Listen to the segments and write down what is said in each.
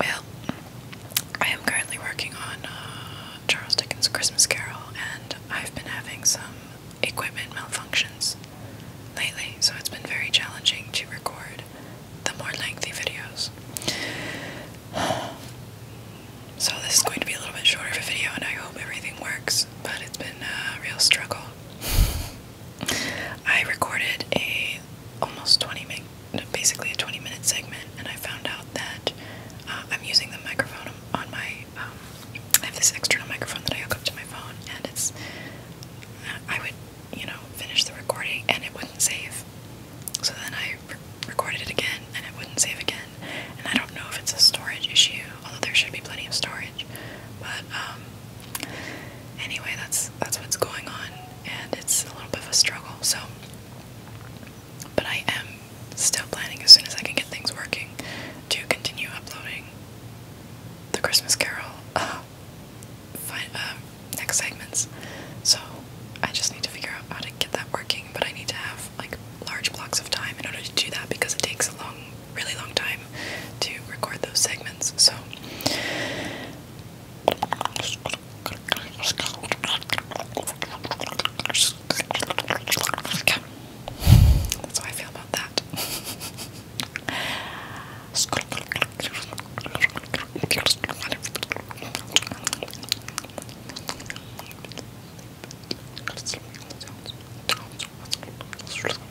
Well, I am currently working on uh, Charles Dickens' Christmas Carol, and I've been having some equipment malfunctions lately, so it's been very challenging to record the more lengthy videos. So, this is going to be a little bit shorter of a video, and I hope everything works, but it's been a real struggle. I recorded a almost 20 minute, basically a 20 minute segment, and I found out that uh, I'm using the microphone on my. Um, I have this external microphone that I hook up to my phone, and it's. Uh, I would, you know, finish the recording, and it wouldn't save. So then I recorded it again, and it wouldn't save again. And I don't know if it's a storage issue, although there should be plenty of storage. But um, anyway, that's that's what's going on, and it's a little bit of a struggle. So, but I am still planning as soon as I can get things working to continue uploading the Christmas Carol uh, fine, uh, next segments. So I just need to figure out how to get that working, but I need to have like large blocks of time in order to do that because it takes a long really long time to record those segments. So that's how I feel about that.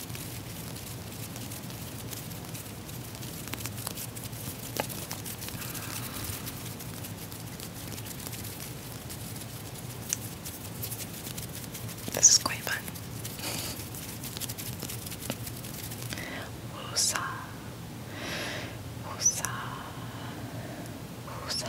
This is quite fun. Woosa, woosa, woosa.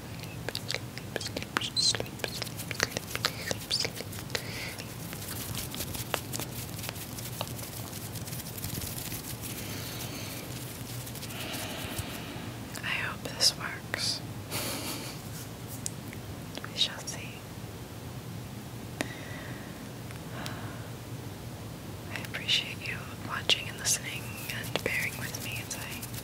I hope this works. We shall see. I appreciate you watching and listening and bearing with me as I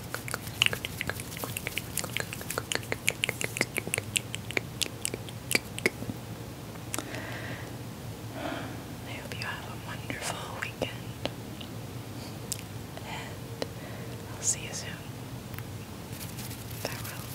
I hope you have a wonderful weekend. And I'll see you soon. Farewell.